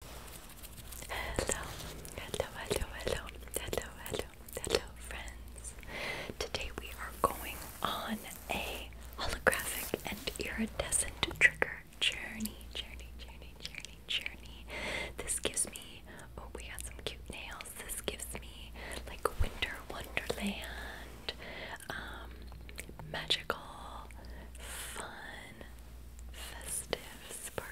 Hello, hello, hello, hello, hello, hello, friends. Today we are going on a holographic and iridescent trigger journey, journey, journey, journey, journey. This gives me, oh, we got some cute nails. This gives me like winter wonderland, um, magical, fun, festive, sparkly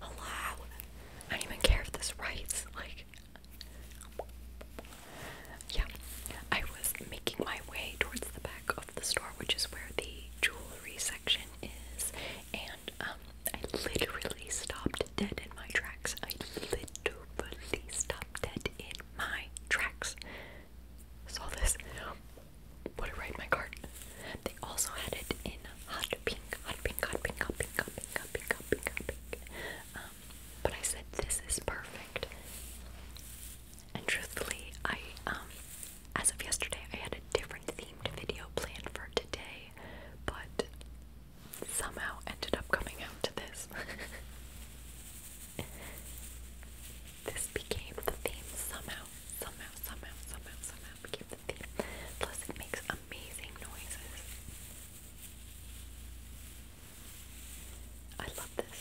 Hello? I don't even care if this writes. Like, yeah. I was making my way towards the back of the store, which is where the jewelry section is, and um, I literally stopped dead in my tracks. I literally stopped dead in my tracks. Saw this. Would I write my card? They also had it in hot pink, hot pink, hot pink, hot pink, hot pink, hot pink, hot pink, um, but I said this is perfect. And truthfully, I um, as of yesterday, I had a different themed video planned for today, but somehow ended up coming out to this. this became the theme somehow, somehow, somehow, somehow, somehow became the theme. Plus, it makes amazing noises. I love this.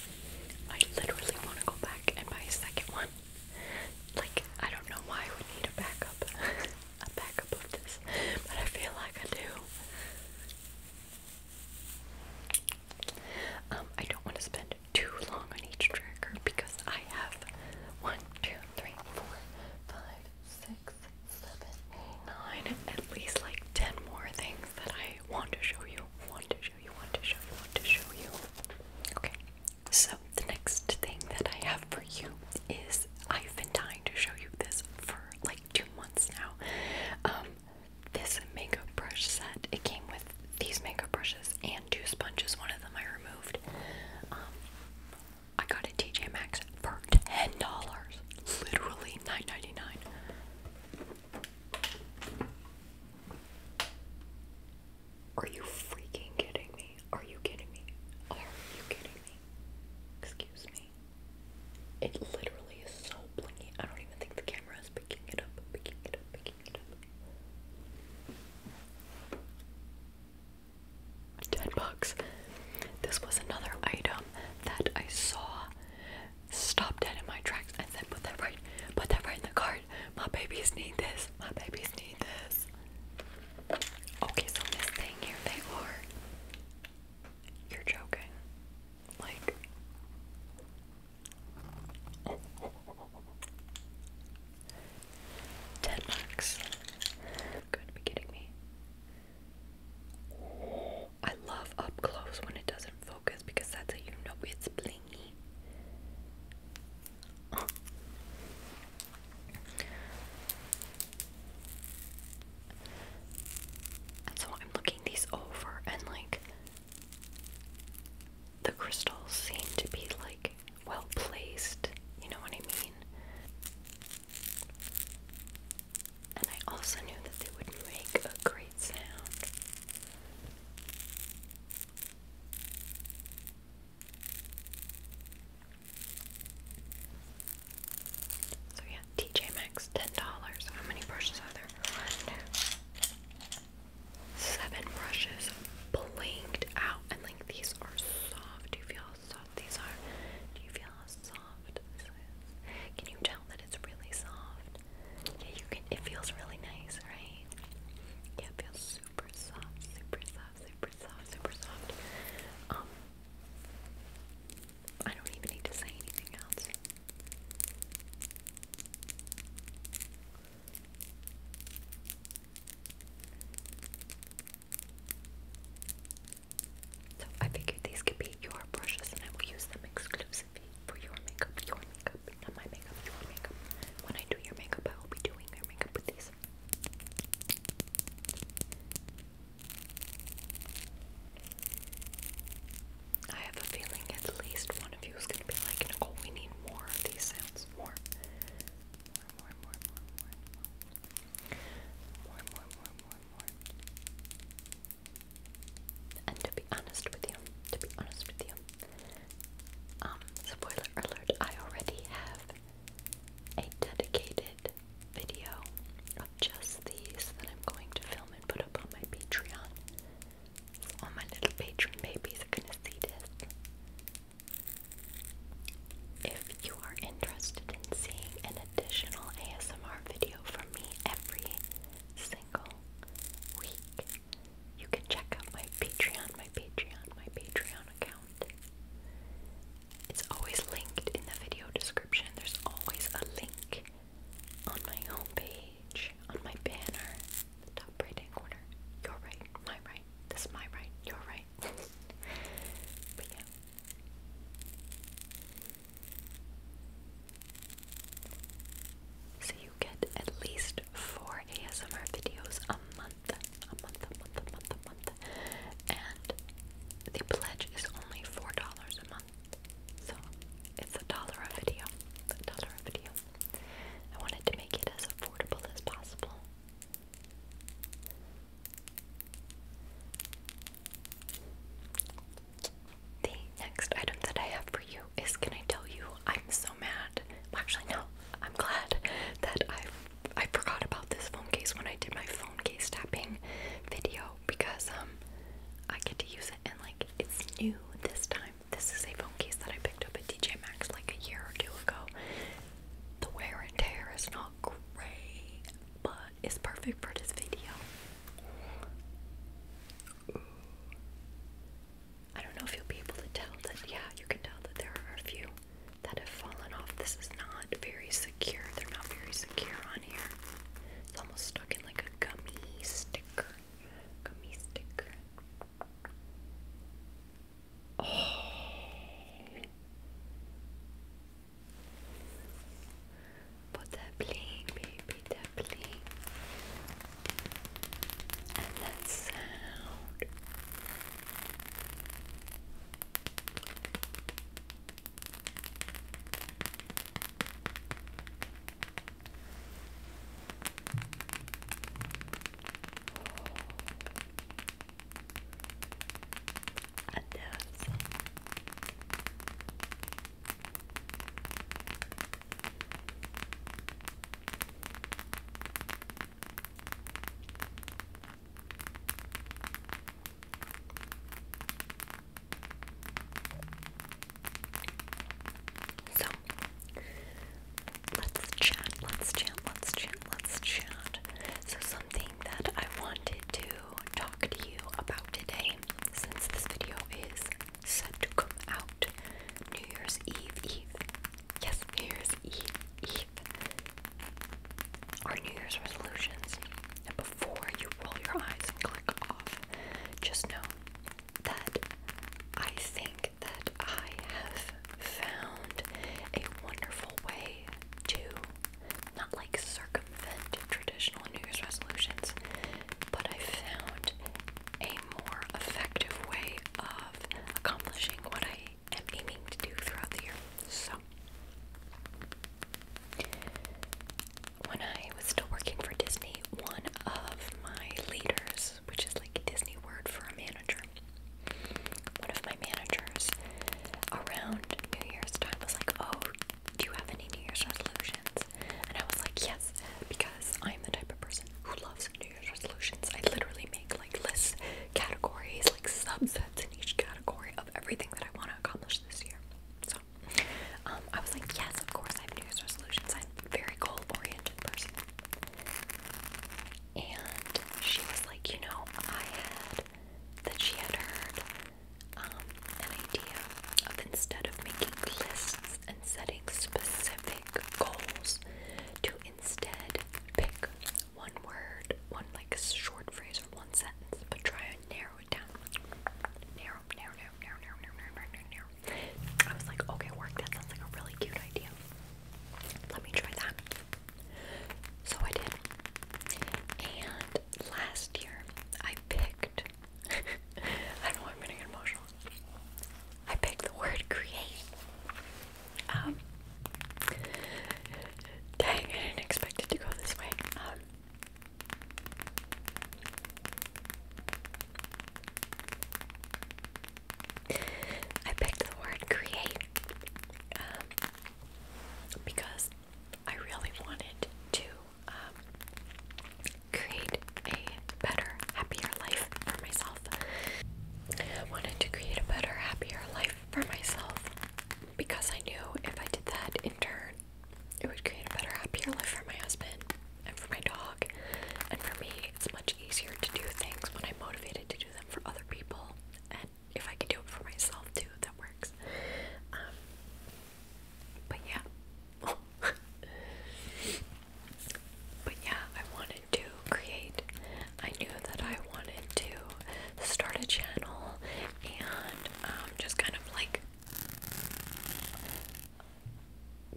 I literally want to go back and buy a second one. Like, I don't know why I need a backup. a backup of this. But I feel like I do. Um, I don't want to spend too long on each trigger because I have one, two, three, four, five, six six, seven, eight, nine, at least like ten more things that I want to show you, want to show you, want to show want to show you. Okay, so the next thing that I have for you is I've been dying to show you this for like two months now. Um, this makeup brush set, it came with these makeup brushes and two sponges. One of them I removed. Um, I got it TJ Maxx for ten dollars. Literally 9 dollars Are you freaking kidding me? Are you kidding me? Are you kidding me? Excuse me. It literally is so blingy. I don't even think the camera is picking it up, picking it up, picking it up. 10 bucks. This was another item that I saw, stopped dead in my tracks, and said, Put that right, put that right in the cart. My babies need this. My babies need this. Okay, so this thing here, they are. You're joking. Like. Ten bucks. Gotta be kidding me. I love up close when it doesn't focus because that's how you know it's blingy. so I'm looking these over, and like the crystals seem to be like well placed, you know what I mean? And I also knew that they would make a great sound. So yeah, TJ Maxx, ten dollars. How many brushes are there? seven brushes blinked out, and like these are soft. You feel soft these are? Do you feel how soft this is? Can you tell that it's really soft? Yeah, you can. It feels really nice, right? Yeah, it feels super soft, super soft, super soft, super soft. Um, I don't even need to say anything else. So I figured these could be your brushes and I will use them exclusively for your makeup, your makeup, not my makeup, your makeup. When I do your makeup, I will be doing your makeup with these. I have a feeling at least one of you is going to be like, oh, we need more of these sounds. More. More, more, more, more, more, more. More, more, more, more, and to be honest with you, to be honest with you, um, spoiler alert, I already have a dedicated video of just these that I'm going to film and put up on my Patreon. all my little Patreon babies are gonna see this if you are interested in seeing an additional ASMR video from me every single week, you can check out my Patreon, my Patreon, my Patreon account. It's always linked in the video description. There's always a link on my homepage, on my banner, the top right hand corner. Your right, my right, this is my right, You're right. but so you get at least four ASMR videos a month, a month, a month, a month, a month, and the pledge is only four dollars a month. So it's a dollar a video, a dollar a video. I wanted to make it as affordable as possible. The next item that I have for you is can I tell you I'm so mad. actually no, I'm glad that I I forgot about this phone case when I did my phone case tapping video because um I get to use it and like it's new this time. This is a phone case that I picked up at DJ Maxx like a year or two ago. The wear and tear is not great, but is perfect for this video. I don't know if you'll be able to tell that, yeah, you can tell that there are a few that have fallen off. This is not very secure. They're not very secure on here. It's almost stuck in like a gummy sticker. Gummy sticker. Oh. Put that bling, baby, that bling. And that sound. And those so let's chat, let's chat, let's chat, let's chat. So, something that I wanted to talk to you about today since this video is set to come out New Year's Eve Eve. Yes, New Year's Eve Eve. Our New Year's resolutions. And before you roll your eyes and click off, just know that I think that I have found a wonderful way to not like circumvent traditional New Year's resolutions, but I found a more effective way of accomplishing what I am aiming to do throughout the year. So, when I was still working for Disney, one of my leaders, which is like a Disney word for a manager, one of my managers around New Year's time was like, Oh, do you have any New Year's resolutions? And I was like, yes, because I'm the type of person who loves New Year's resolutions. I literally make like lists, categories, like subsets in each category of everything that I want to accomplish this year. So um, I was like, yes, of course, I have New Year's resolutions. I'm a very goal oriented person. And she was like, you know, I had that she had heard um, an idea of instead of making lists and setting specific goals, to instead pick one word, one like short phrase or one sentence, but try and narrow it down. narrow, narrow, narrow, narrow, narrow, narrow, narrow, narrow. I was like, okay, work. That sounds like a really cute idea. Let me try that. So I did, and last year I picked I don't know I'm emotional. I picked the word create. Um, dang, I didn't expect it to go this way. Um, I picked the word create um, because I really wanted to um, create a better, happier life for myself. I wanted to create a better, happier life for myself because I knew if I did that in turn, it would create a better, happier life for my husband and for my dog. And for me, it's much easier to do things when I'm motivated to do them for other people. And if I can do it for myself too, that works. Um, but yeah. but yeah, I wanted to create. I knew that I wanted to start a channel and um, just kind of like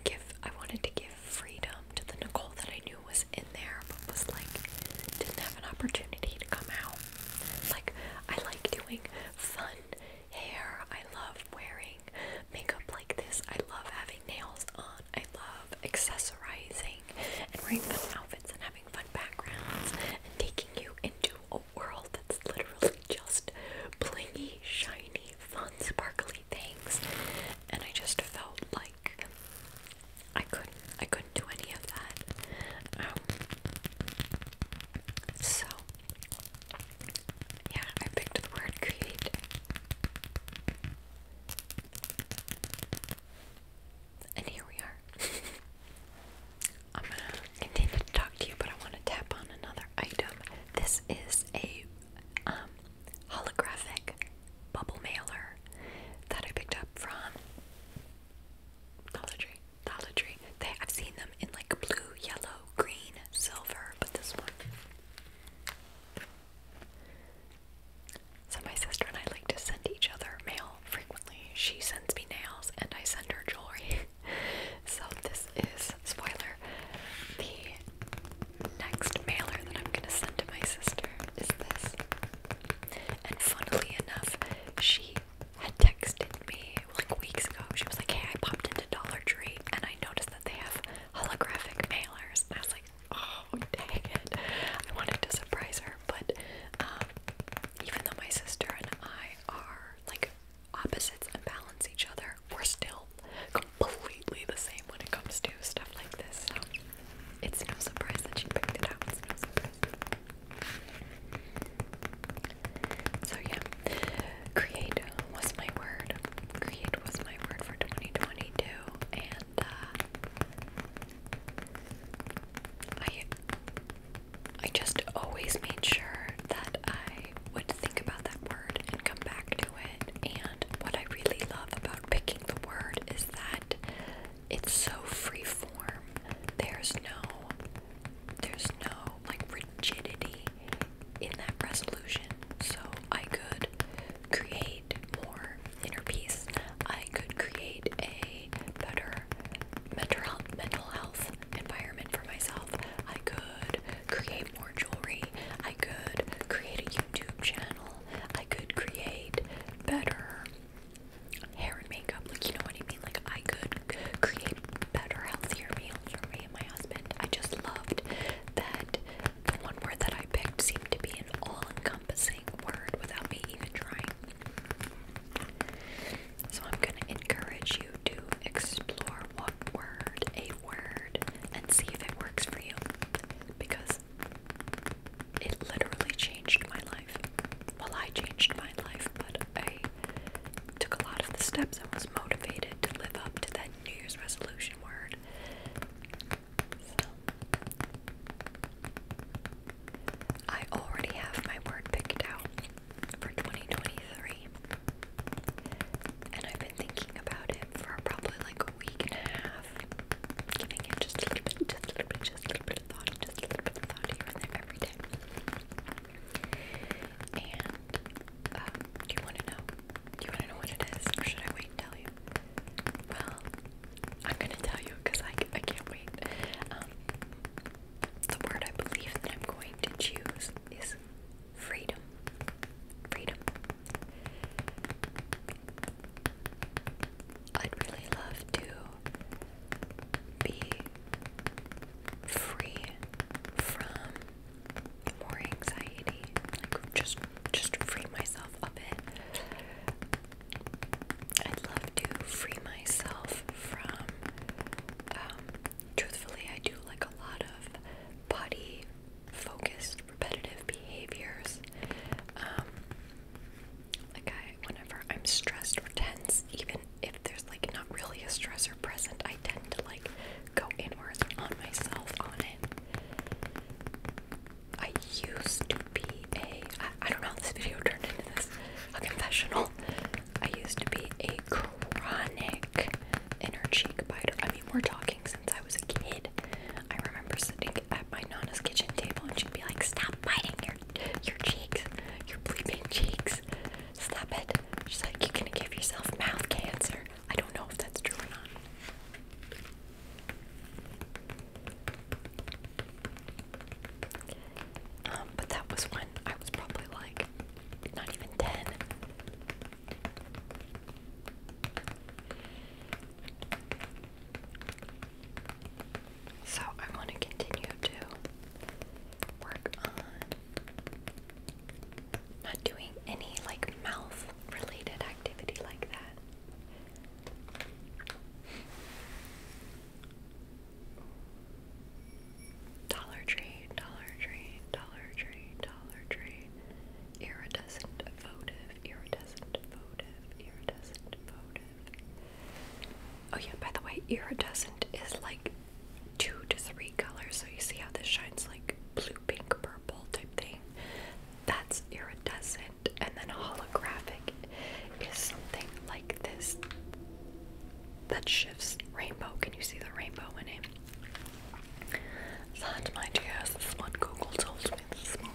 give. I wanted to give freedom to the Nicole that I knew was in there, but was like didn't have an opportunity to come out. Like I like doing fun hair. I love wearing makeup like this. I love having nails on. I love accessorizing and wearing fun outfits and having fun backgrounds and taking you into a world that's literally just blingy, shiny, fun, sparkly things. And I just felt like I couldn't I couldn't do any of that. Um, so, yeah, I picked the word create. And here we are. I'm gonna continue to talk to you, but I want to tap on another item. This is a um, holographic bubble mailer that I picked up from Dollar Tree. Dollar They I've seen them in like blue, yellow, green, silver, but this one. So my sister and I like to send each other mail frequently. She sends me nails and I send her jewelry. so this is spoiler. The next mailer that I'm gonna send to my sister is this. And funnily enough, she had texted me like weeks ago. She was like, "Hey, I popped into Dollar Tree and I noticed that they have holographic mailers." And I was like, "Oh, dang it!" I wanted to surprise her, but um, even though my sister and I are like opposites and balance each other, we're still completely the same when it comes to stuff like this. So it's no surprise that she picked it out. It's no surprise. So yeah, create was my word. Create was my word for 2022, and uh, I I just always made sure that I would think about that word and come back to it. And what I really love about picking the word is that it's so free form. There's no there's no like rigidity in that resolution. So I could create more inner peace. I could create a better mental health, mental health environment for myself. I could create more jewelry. I could create a YouTube channel. I could create better hair and makeup. Like, you know what I mean? Like, I could create better, healthier meals for me and my husband. I just loved that the one word that I picked seemed to be an all encompassing word without me even trying. So, I'm going to encourage you to explore what word, a word, and see if it works for you. Because it literally changed my life. Well, I changed my life, but a took a lot of the steps and was motivated to live up to that New Year's resolution word. I already have my word picked out for 2023. And I've been thinking about it for probably like a week and a half. Giving it just a little bit, just a little bit, just a little bit of thought, just a little bit of thought every day. And um, do you want to know? Do you want to know what it is, or should I wait and tell you? Well, I'm gonna tell you because I I can't wait. Um, the word I believe that I'm going to choose is freedom. Freedom. I'd really love to be free from more anxiety. Like just just free myself a bit. I'd love to free myself from um, truthfully I do like a lot of body focused repetitive behaviors. Um, like I whenever I'm stressed or tense, even there's like not really a stressor present, I tend to like go inwards on myself on it. I used to be a I, I don't know this video turned into this a confessional. I used to be a chronic inner cheek biter. I mean, we're talking since I was a kid. I remember sitting at my nana's kitchen table and she'd be like, "Stop biting your your cheeks, your bleeding cheeks." Stop it. She's like, You're gonna give yourself mouth cancer. I don't know if that's true or not. Um, but that was when I was probably like not even 10. So I want to continue to work on not doing any like mouth related activity like that. Dollar Tree, Dollar Tree, Dollar Tree, Dollar Tree. Iridescent votive, iridescent votive, iridescent votive. Oh, yeah, by the way, iridescent is like two to three colors. So you see how this shines like blue, pink, purple type thing. That's iridescent. And then holographic is something like this that shifts rainbow. Can you see the rainbow in it? That, my dears, is what Google told me this morning.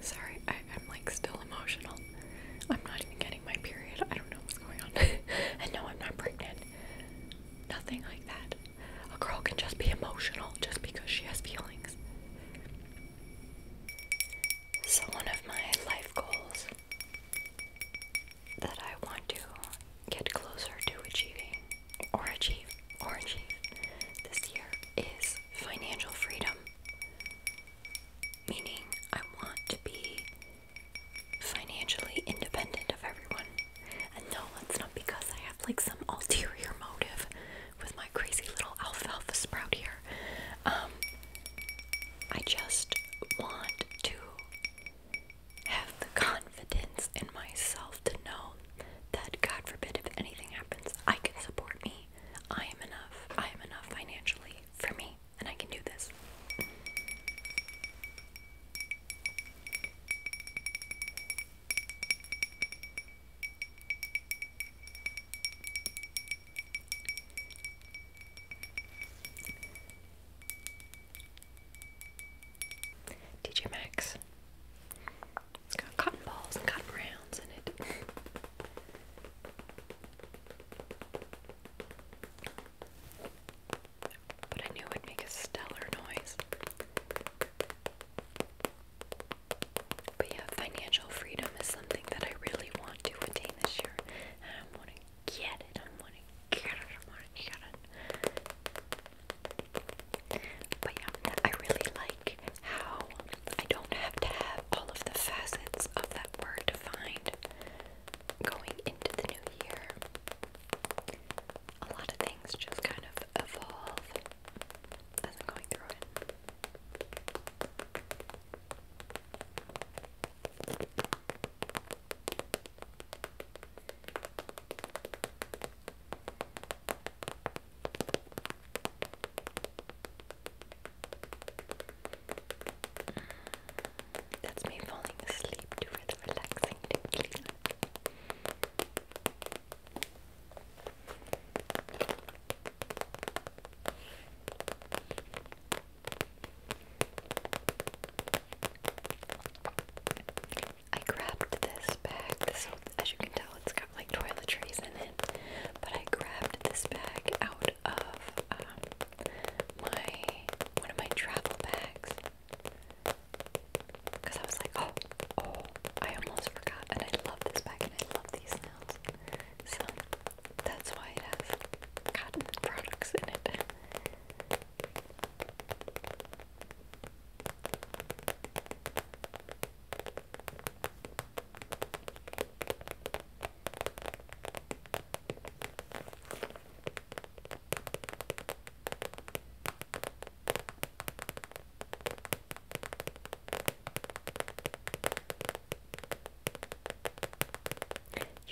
Sorry, I, I'm like still emotional. I'm not even getting my period. I don't know what's going on. and no, I'm not pregnant. Nothing like that. A girl can just be emotional just because she has feelings. So, one of my life goals that I want to get closer to achieving or achieve or achieve this year is financial freedom. Meaning I want to be financially independent of everyone. And no, that's not because I have like some ulterior motive with my crazy little alfalfa sprout here. Um I just want to have the confidence in myself to know that God forbid if anything happens, I can support me. I am enough. I am enough financially for me, and I can do this. DJ Maxx. It's got cotton balls and cotton rounds in it. But I knew it would make a stellar noise. But yeah, financial freedom is something that I really want to attain this year. And I want to get it. I want to get it. I want to get it. But yeah, I really like how I don't have to have all of the facets of that word defined going into the new year. A lot of things just kind of evolve as I'm going through it. That's me falling asleep to the relaxing tickling. I grabbed this bag. So as you can tell, it's got like toiletries in it. But I grabbed this bag out of um, my one of my travel bags because I was like, oh, oh, I almost forgot. And I love this bag, and I love these nails. So that's why it has cotton products in it.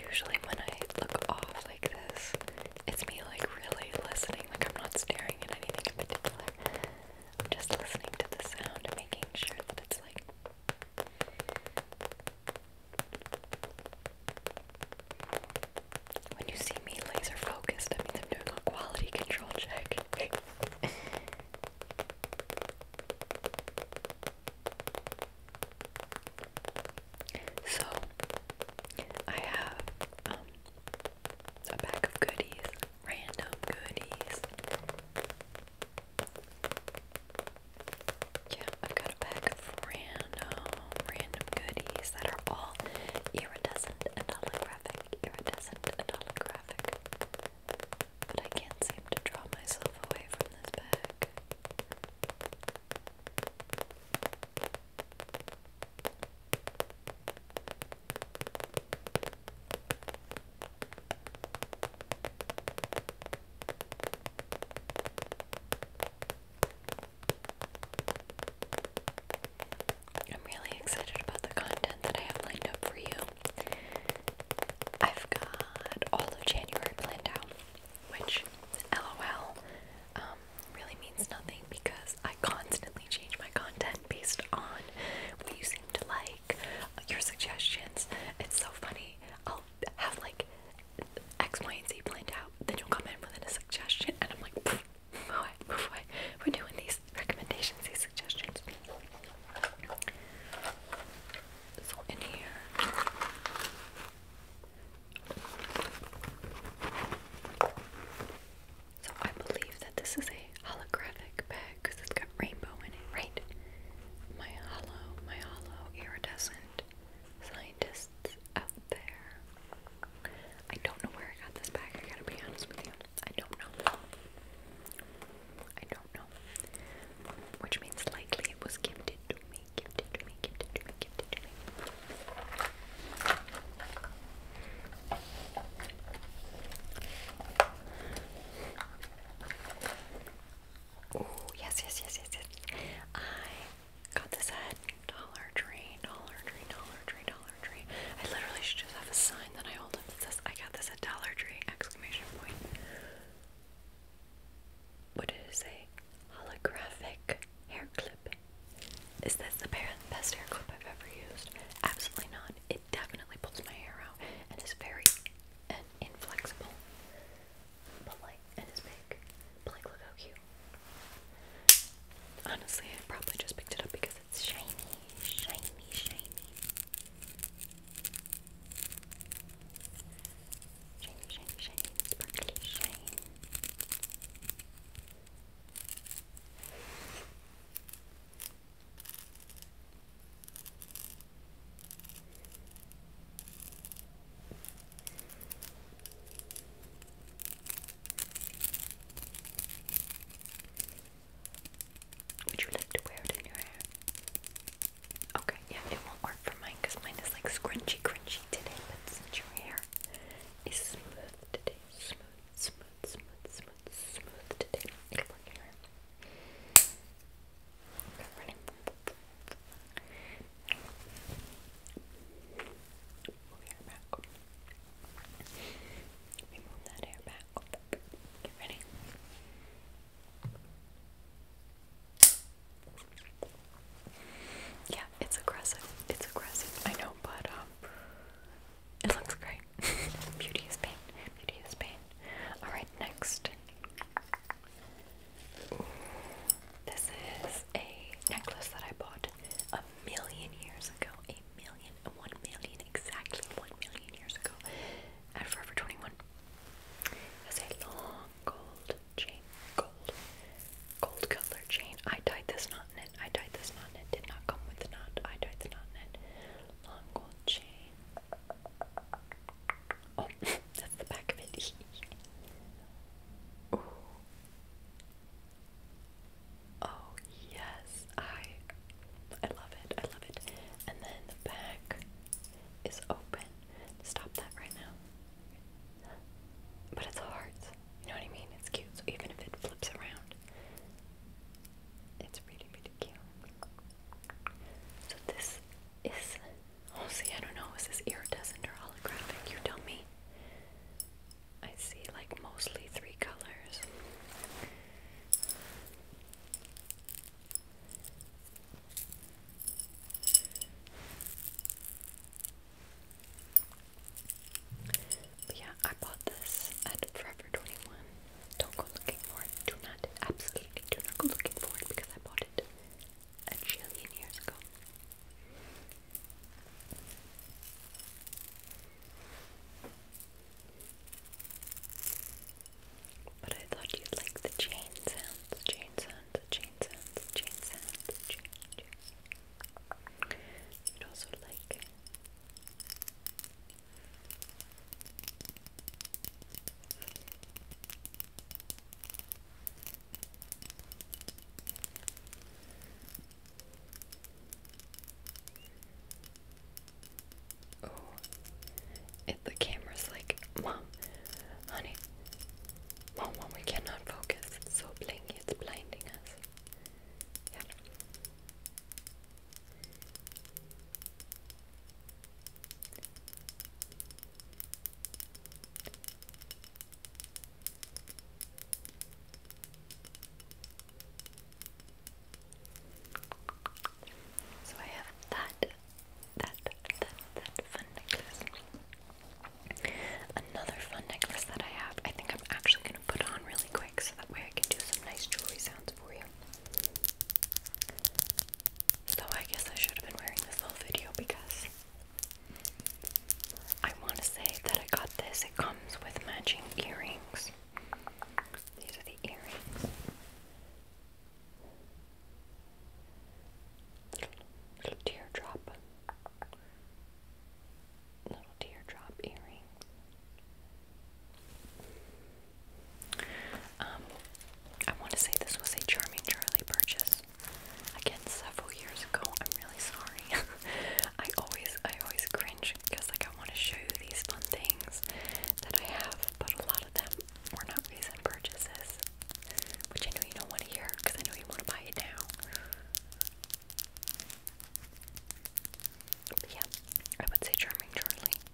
Usually, when I look off like this, it's me like really listening, like I'm not staring at anything in particular. I'm just listening to the sound and making sure that it's like. When you see me laser focused, that means I'm doing a quality control check. so, I have um, a pack of goodies random goodies. Yeah, I've got a pack of random, random goodies that are all iridescent and holographic, iridescent and holographic. But I can't seem to draw myself away from this bag. I'm really excited about the content that I have lined up for you. I've got all of January planned out, which, lol, um, really means nothing because I constantly change my content based on what you seem to like, your suggestions. It's so funny. I'll have like X, Y, and Z planned out, then you'll come in with a suggestion, and I'm like, move away, move away. We're doing these recommendations, these suggestions. So in here. So I believe that this is a holographic bag because it's got rainbow in it, right? My hollow, my hollow iridescent scientists out there. I don't know where I got this bag, I gotta be honest with you. I don't know. I don't know. Which means likely it was gifted to me, gifted to me, gifted to me, gifted to me. Oh, yes, yes, yes, yes, yes. I got this at Dollar Tree, Dollar Tree, Dollar Tree, Dollar Tree. I literally should just have a sign that I hold up that says I got this at Dollar Tree exclamation point. What did it say? Holographic hair clip. Is this the best hair clip I've ever used? Absolutely not it definitely pulls my hair out and is very inflexible. But and it's big. But like, cute. Honestly, I probably just picked it up because it's shiny, shiny, shiny. Shiny, shiny, shiny, sparkly, shiny. Would you like to wear it in your hair? Okay, yeah, it won't work for mine because mine is like scrunchy, crunchy today, but since your hair is smooth today, smooth, smooth smooth, smooth, smooth, today. Good ready? Move your hair back. Let me move that hair back. Get ready. Yeah, it's aggressive. It's aggressive. I know, but it looks great. Beauty is pain. Beauty is pain. Alright, next. This is a necklace that I bought a million years ago. A million, one million, exactly one million years ago at Forever 21. It's a long gold chain. Gold. Gold color chain. I tied this knot in it. I tied this knot in it. Did not come with the knot. I tied the knot in it long gold chain. Oh, that's the back of it. Ooh. Oh yes, I I love it. I love it. And then the back is open. Stop that right now. But it's hearts. You know what I mean? It's cute. So even if it flips around, it's really so this is, I don't know, is this iridescent or holographic? You tell me. I see like mostly three colors. yeah, I bought this at Forever 21. Don't go looking for it. Do not, absolutely do not go looking for it because I bought it a trillion years ago. But I thought you'd like the chain sounds, chain sounds, chain sounds, chain sounds, chain, chain. You'd also like Oh, it, the camera's like, Mom, honey, Mom, Mom, we cannot focus. It's so blingy, it's blinding us. So I have that, that, that, that fun necklace. Another fun necklace that I have, I think I'm actually going to put on really quick so that way I can do some nice jewelry sounds so I guess I should have been wearing this little video because I want to say that I got this. It comes with matching earrings. These are the earrings. Little teardrop. Little teardrop earring. Um, I want to say this was a Charming Charlie purchase. Again, several years ago. I'm really sorry. I always, I always cringe because like I want to show you these fun things that I have, but a lot of them were not recent purchases, which I know you don't want to hear because I know you want to buy it now. yeah, I would say Charming Charlie.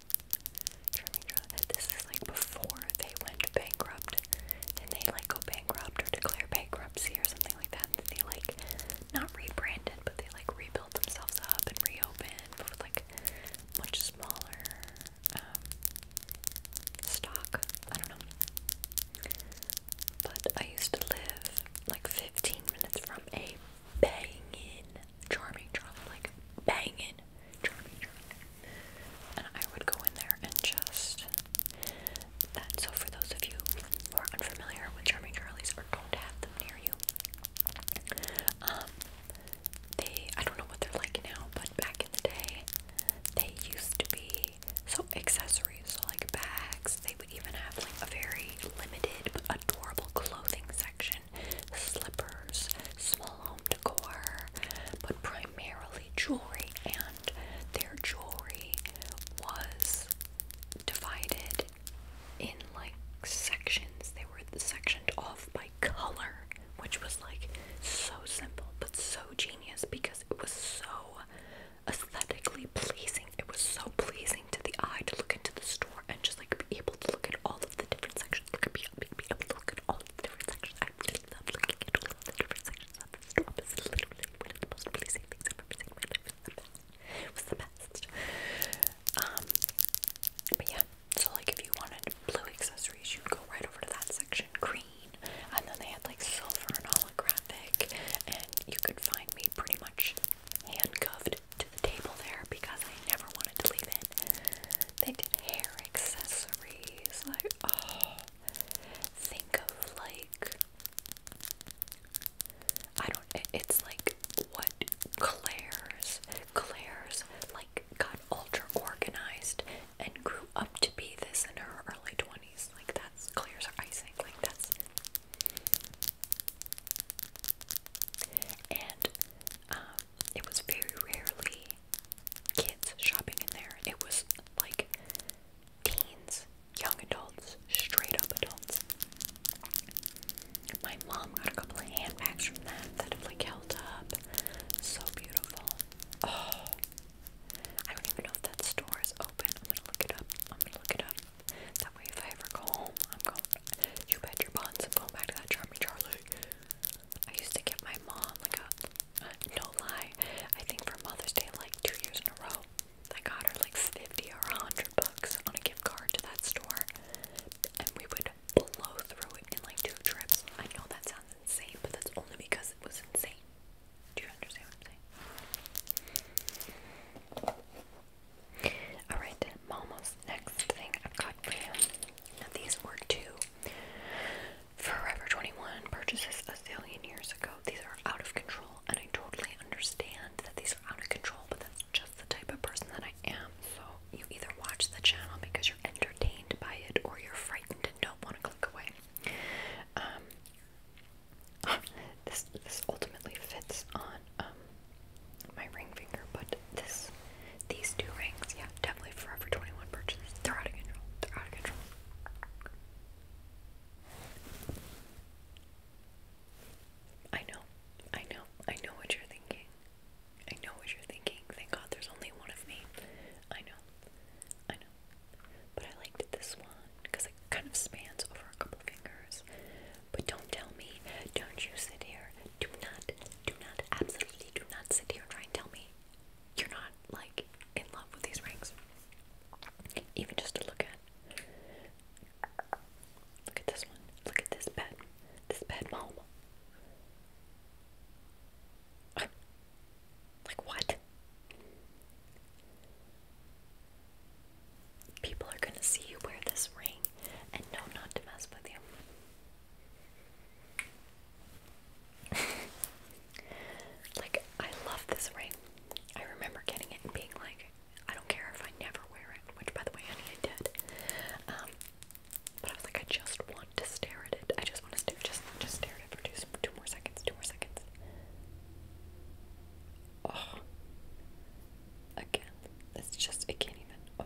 This is like before they went bankrupt. Then they like go bankrupt or declare bankruptcy or something like that. And they like not rebranded, but they like rebuilt themselves up and reopened but with like much smaller um, stock. I don't know. But I used to live like 15 minutes from a banging charming charm like banging charming charm and I would go in there and just that so for those of you who are unfamiliar with charming charlies or don't have them near you um they I don't know what they're like now but back in the day they used to be so accessories so like bags they would even have like a very limited adorable clothing section slippers, small home decor, but primarily jewelry. And their jewelry was divided in like sections. They were sectioned off by color, which was like so simple but so genius because it was so aesthetically pleasing. It was so pleasing pleasing to the eye to look into the store and just like be able to look at all of the different sections. Look at me, be look at all of the different sections. I really love looking at all of the different sections of the store. It's literally one of the most pleasing things I've ever seen in my life. It was the best. Um, but yeah, so like if you wanted blue accessories, you'd go right over to that section. Green, and then they had like silver and holographic, and you could find me pretty much handcuffed to the table there because I never wanted to leave it. They did hair accessories, like oh, think of like I don't. It's like what Claire's, Claire's like got ultra organized and grew up to be this in her early twenties. Like that's Claire's icing. Like that's and um, it was very rarely kids shopping in there. It was like teens, young adults, straight up adults. My mom got a couple of handbags from that that have like held up. So beautiful. Oh, I don't even know if that store is open. I'm gonna look it up. I'm gonna look it up. That way, if I ever go home, I'm going. You bet your buns, i going back to that Charlie. I used to get my mom like a, no lie, I think for Mother's Day like two years in a row, I got her like 50 or 100 bucks on a gift card to that store. And we would blow through it in like two trips. I know that sounds insane, but that's only because it was insane. Do you understand what I'm saying? Alright, Momo's next thing I've got for him. these were two Forever 21 purchases a zillion years ago. These are out of control, and I totally understand that these are out of control, but that's just the type of person that I am. So, you either watch the channel because you're entertained by it or you're frightened and don't want to click away. Um, this, this ultimately fits on um, my ring finger, but this, these two rings, yeah, definitely Forever 21 purchases. They're out of control. They're out of control. I know, I know, I know what you're thinking. I know what you're thinking. Thank God there's only one of me. I know, I know. But I liked this one because it kind of spans over a couple fingers. But don't tell me, don't you sit here do not, do not, absolutely do not sit here and try and tell me you're not like in love with these rings. Even just to look at. Look at this one. Look at this bed. This bed mom. Like what? People are gonna see you wear this ring and know not to mess with you. like, I love this ring. I remember getting it and being like, I don't care if I never wear it, which, by the way, honey, I did. Um, but I was like, I just want to stare at it. I just want to stare, just, just stare at it for two, two more seconds, two more seconds. Oh, again, it's just, it can't even, oh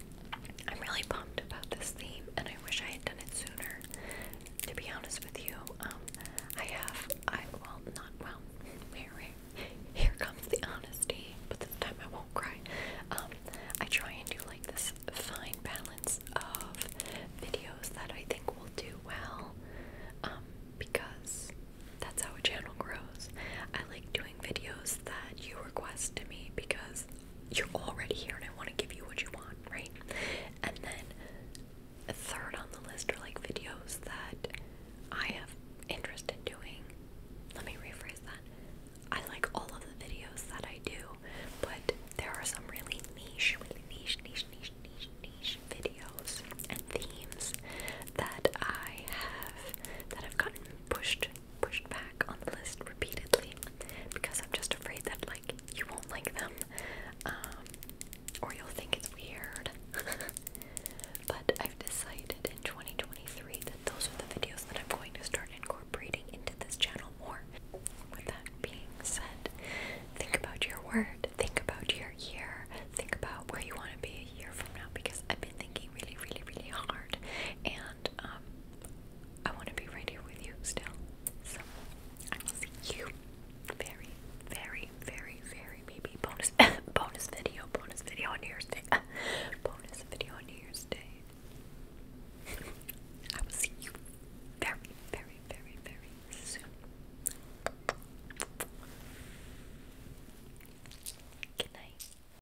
I'm really pumped about this theme, and I wish I had done it sooner. To be honest with you, um, I have. I will not well. Wait, Here comes the honesty, but this time I won't cry. Um, I try and do like this fine balance of videos that I think will do well, um, because that's how a channel grows. I like doing videos that you request to me because you're already here and I want to give you what you want, right? And then third on the list are like videos that I have interest in doing. Let me rephrase that. I like all of the videos that I do, but there are some really niche, niche, niche, niche, niche, niche videos and themes that I have that have gotten pushed pushed back on the list repeatedly because I'm just afraid that like you won't like them um, or you'll think it's weird. but I've decided in 2023 that those are the videos that I'm going to start incorporating into this channel more. With that being said, think about your word, think about your year, think about where you want to be a year from now because I've been thinking really, really, really hard and um, I want to be right here with you still. So I will see you very, very, very, very maybe bonus bonus video, bonus video on New Year's Day, bonus video on New Year's Day. I will see you very, very, very, very soon. Good night.